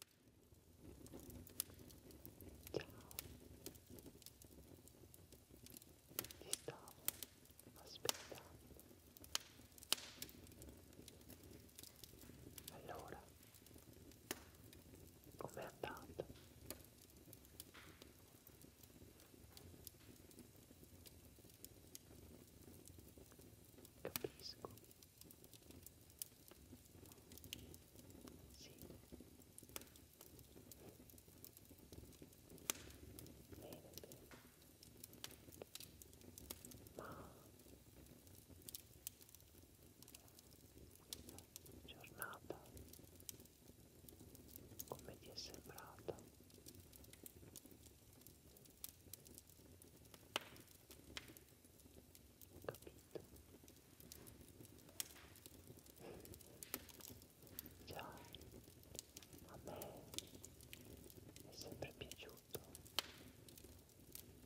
ti stavo aspettando allora com'è andata? capisco sì. Bene, bene. Ma giornata come ti è sembrata? capito già a me è sempre piaciuto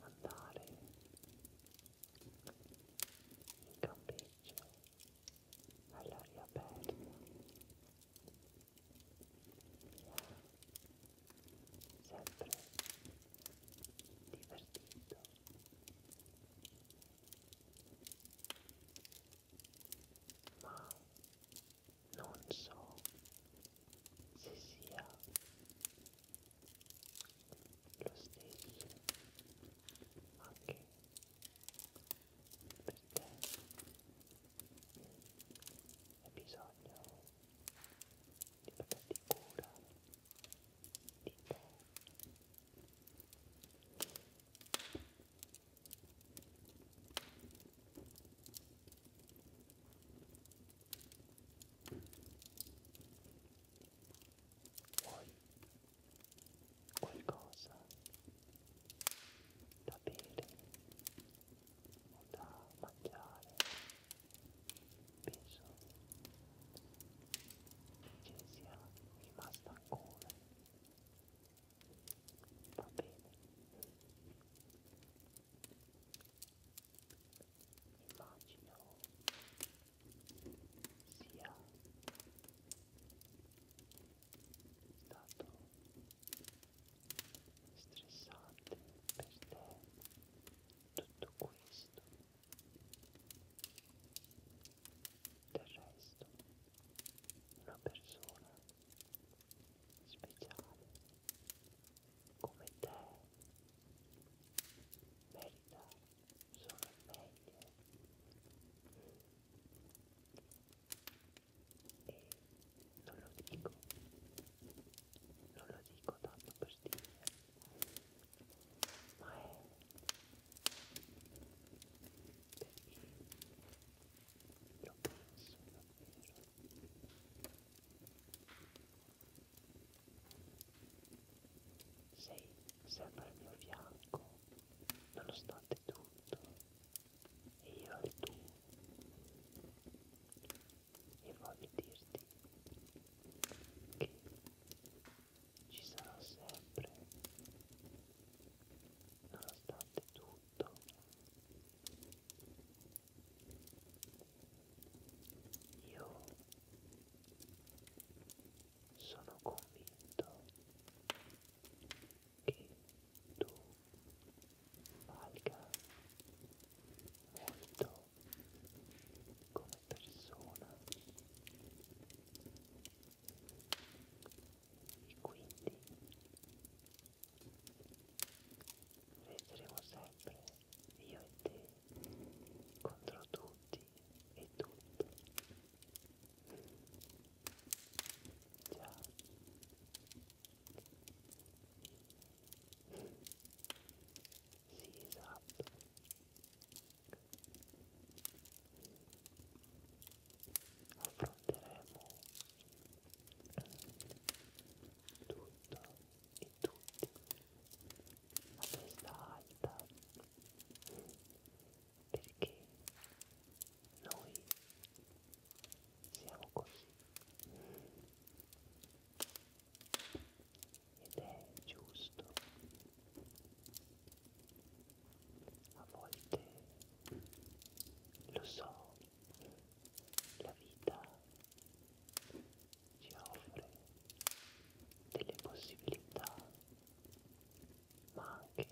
andare in campeggio all'aria aperta mi ha sempre divertito ma non so se sia lo stesso anche perché è bisogno di papà di cura, di te. Vuoi qualcosa da bere? o da mangiare penso che sia rimasta ancora va bene immagino sia stato stressante per te tutto questo del resto una persona speciale come te merita solo il meglio e non lo dico non lo dico tanto per dire ma è perché lo penso davvero sei sempre al mio fianco nonostante tutto e io al tuo e voglio dirti che ci sarò sempre nonostante tutto io sono convinto che tu valga molto come persona e quindi resteremo sempre io e te contro tutti e tutto già sì, esatto. Affronteremo tutto e tutti a testa alta perché noi siamo così ed è giusto a volte lo so la vita ci offre delle possibilità ma anche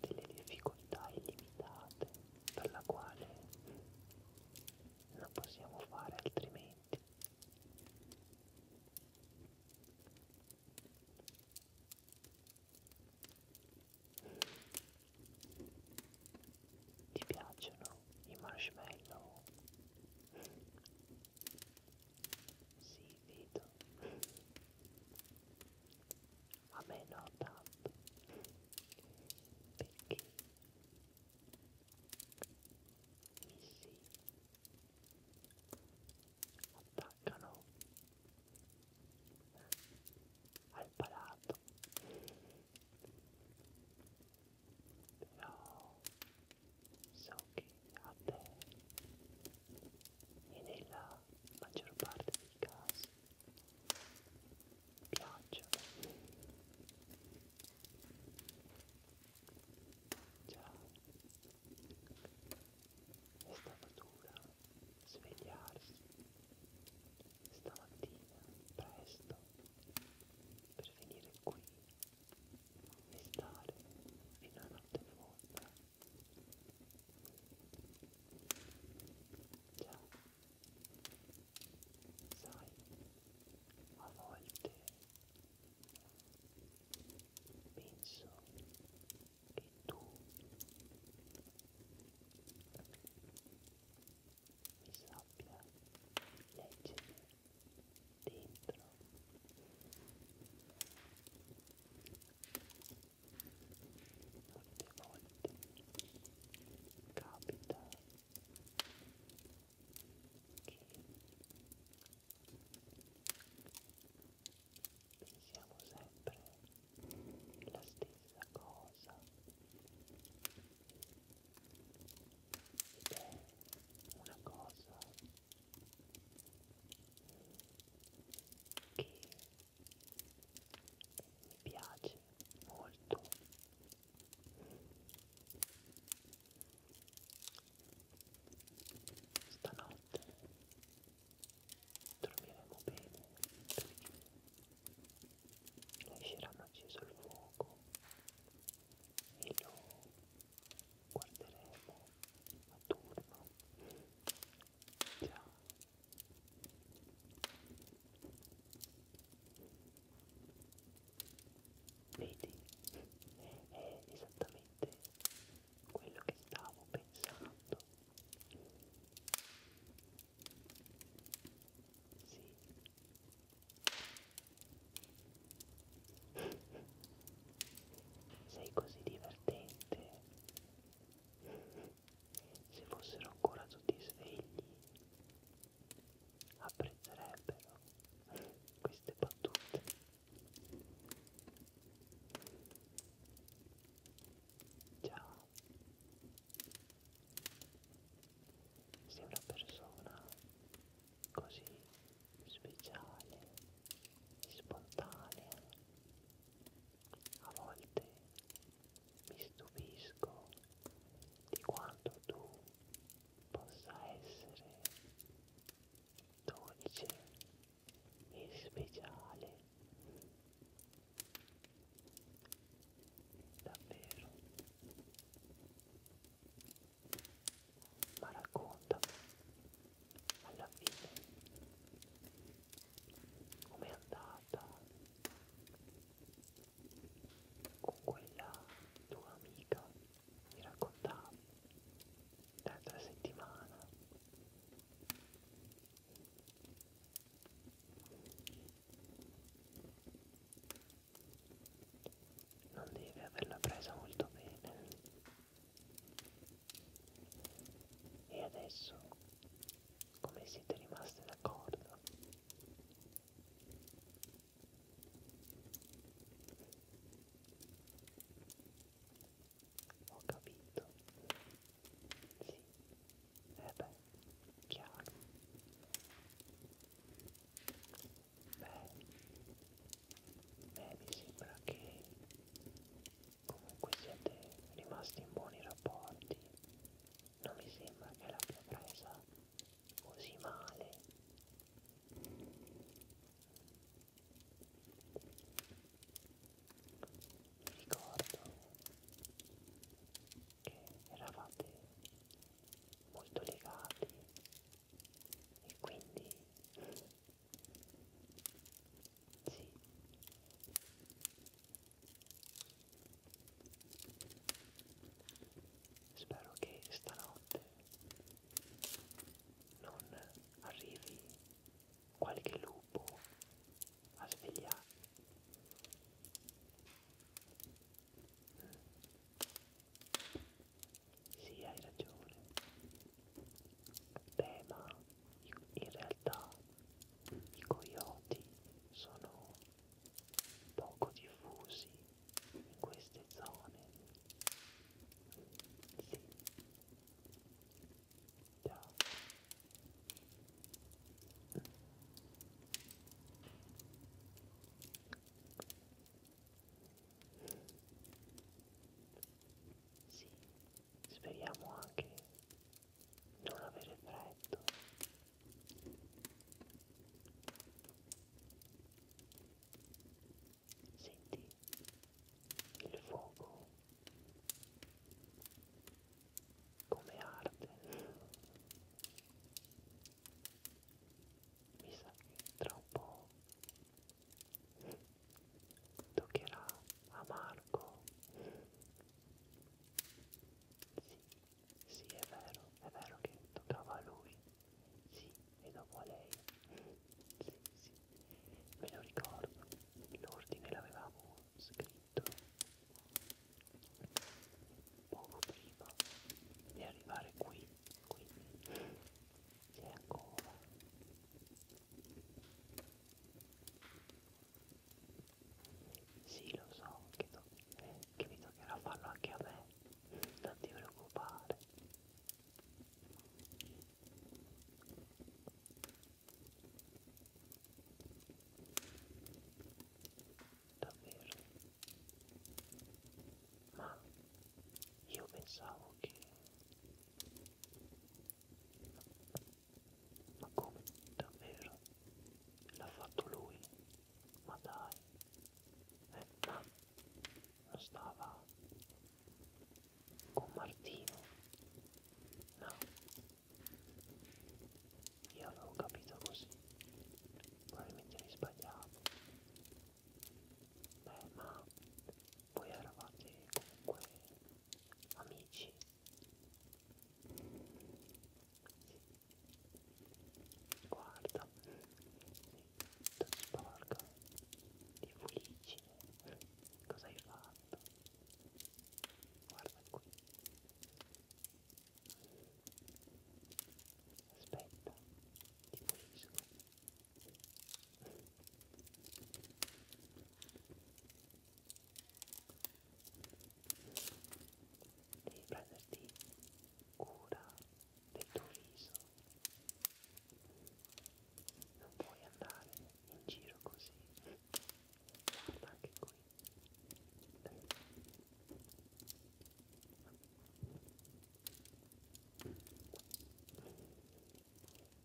delle difficoltà illimitate per la quale non possiamo fare altrimenti ti piacciono i marshmallow? Sì, vedo. A me no tanto. Perché missili attaccano al palato però so che a te e nella maggior parte dei casi pioggia ciao è stata dura svegliarsi stamattina presto per venire qui e stare fino a notte fonda ciao sai a volte penso che tu mi sappia leggere dentro molte volte capita che pensiamo sempre la stessa cosa ed è una cosa che mi piace molto stanotte dormiremo bene perché lasceranno acceso il fuoco e lo guarderemo a turno già Vedi? È esattamente quello che stavo pensando. Sì. Sei così divertente se fossero ancora tutti svegli apprezzerebbero queste battute ciao sei una persona così speciale spontanea a volte mi stupisco di quanto tu possa essere dolce e speciale davvero ma raccontami alla fine com'è andata con quella tua amica mi raccontavi l'altra settimana non devi averla presa molto bene e adesso come siete rimasti d'accordo ho capito sì e eh beh chiaro beh, beh mi sembra che comunque siete rimasti in buoni rapporti non mi sembra che l'abbia presa così male mi ricordo che eravate molto legati e quindi sì Spero che stanotte non arrivi qualche lupo a svegliarmi. Mm. Sì, hai ragione. Beh, ma in realtà i coyote sono poco diffusi in queste zone. Sì. Già. Sì, speriamo anche non avere freddo senti il fuoco come arde mi sa che tra un po' toccherà a Marco sì, sì, è vero, è vero che toccava a lui. Sì, e dopo a lei. Sì, sì, me lo ricordo. L'ordine l'avevamo scritto poco prima di arrivare qui. Quindi c'è ancora. Sì, lo so che, to che mi toccherà farlo anche a me, non ti preoccupare. Davvero? Ma io pensavo che... Ma come? Davvero? L'ha fatto lui? Ma dai! Eh, no, non stava con Martino? No, io avevo capito così, probabilmente mi sbagliavo. Beh, ma voi eravate comunque amici guarda tutto sporco di fulicine cosa hai fatto guarda qui aspetta ti pulisco devi prenderti cura del tuo viso non puoi andare in giro così guarda anche qui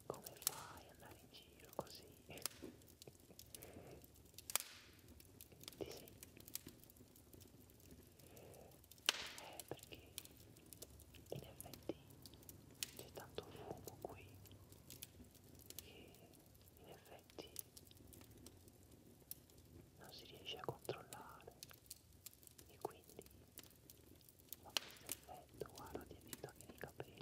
come fai ad andare in giro così ti senti? Eh, perché in effetti c'è tanto fumo qui che in effetti non si riesce a controllare e quindi fa questo effetto guarda ti vedo anche nei capelli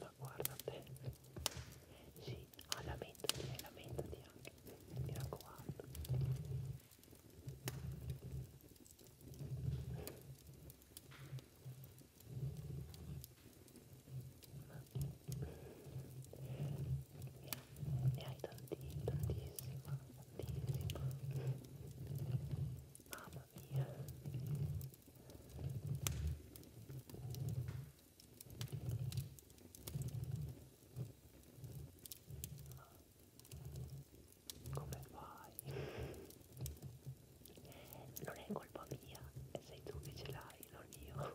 Ma guarda te. Sì, ah, lamentati, eh, lamentati anche. Mi raccomando. Ma ne hai tanti, tantissima, tantissima mamma mia come fai? Non è colpa mia, sei tu che ce l'hai, non io.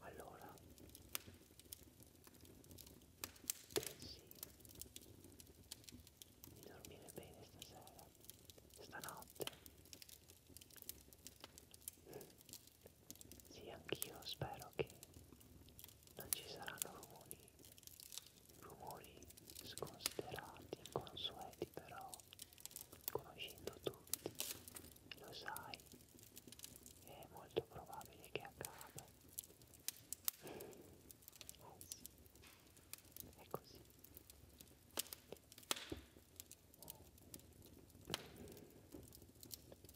allora pensi di dormire bene stasera stanotte sì anch'io spero che non ci saranno rumori rumori sconsiderati inconsueti però conoscendo tutti lo sai è molto probabile che accada eh sì è così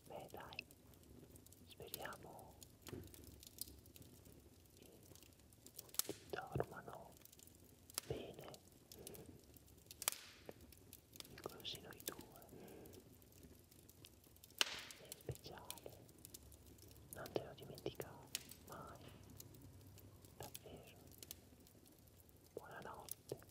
beh dai speriamo che dormano bene così noi due sei speciale non te lo dimenticare mai davvero buonanotte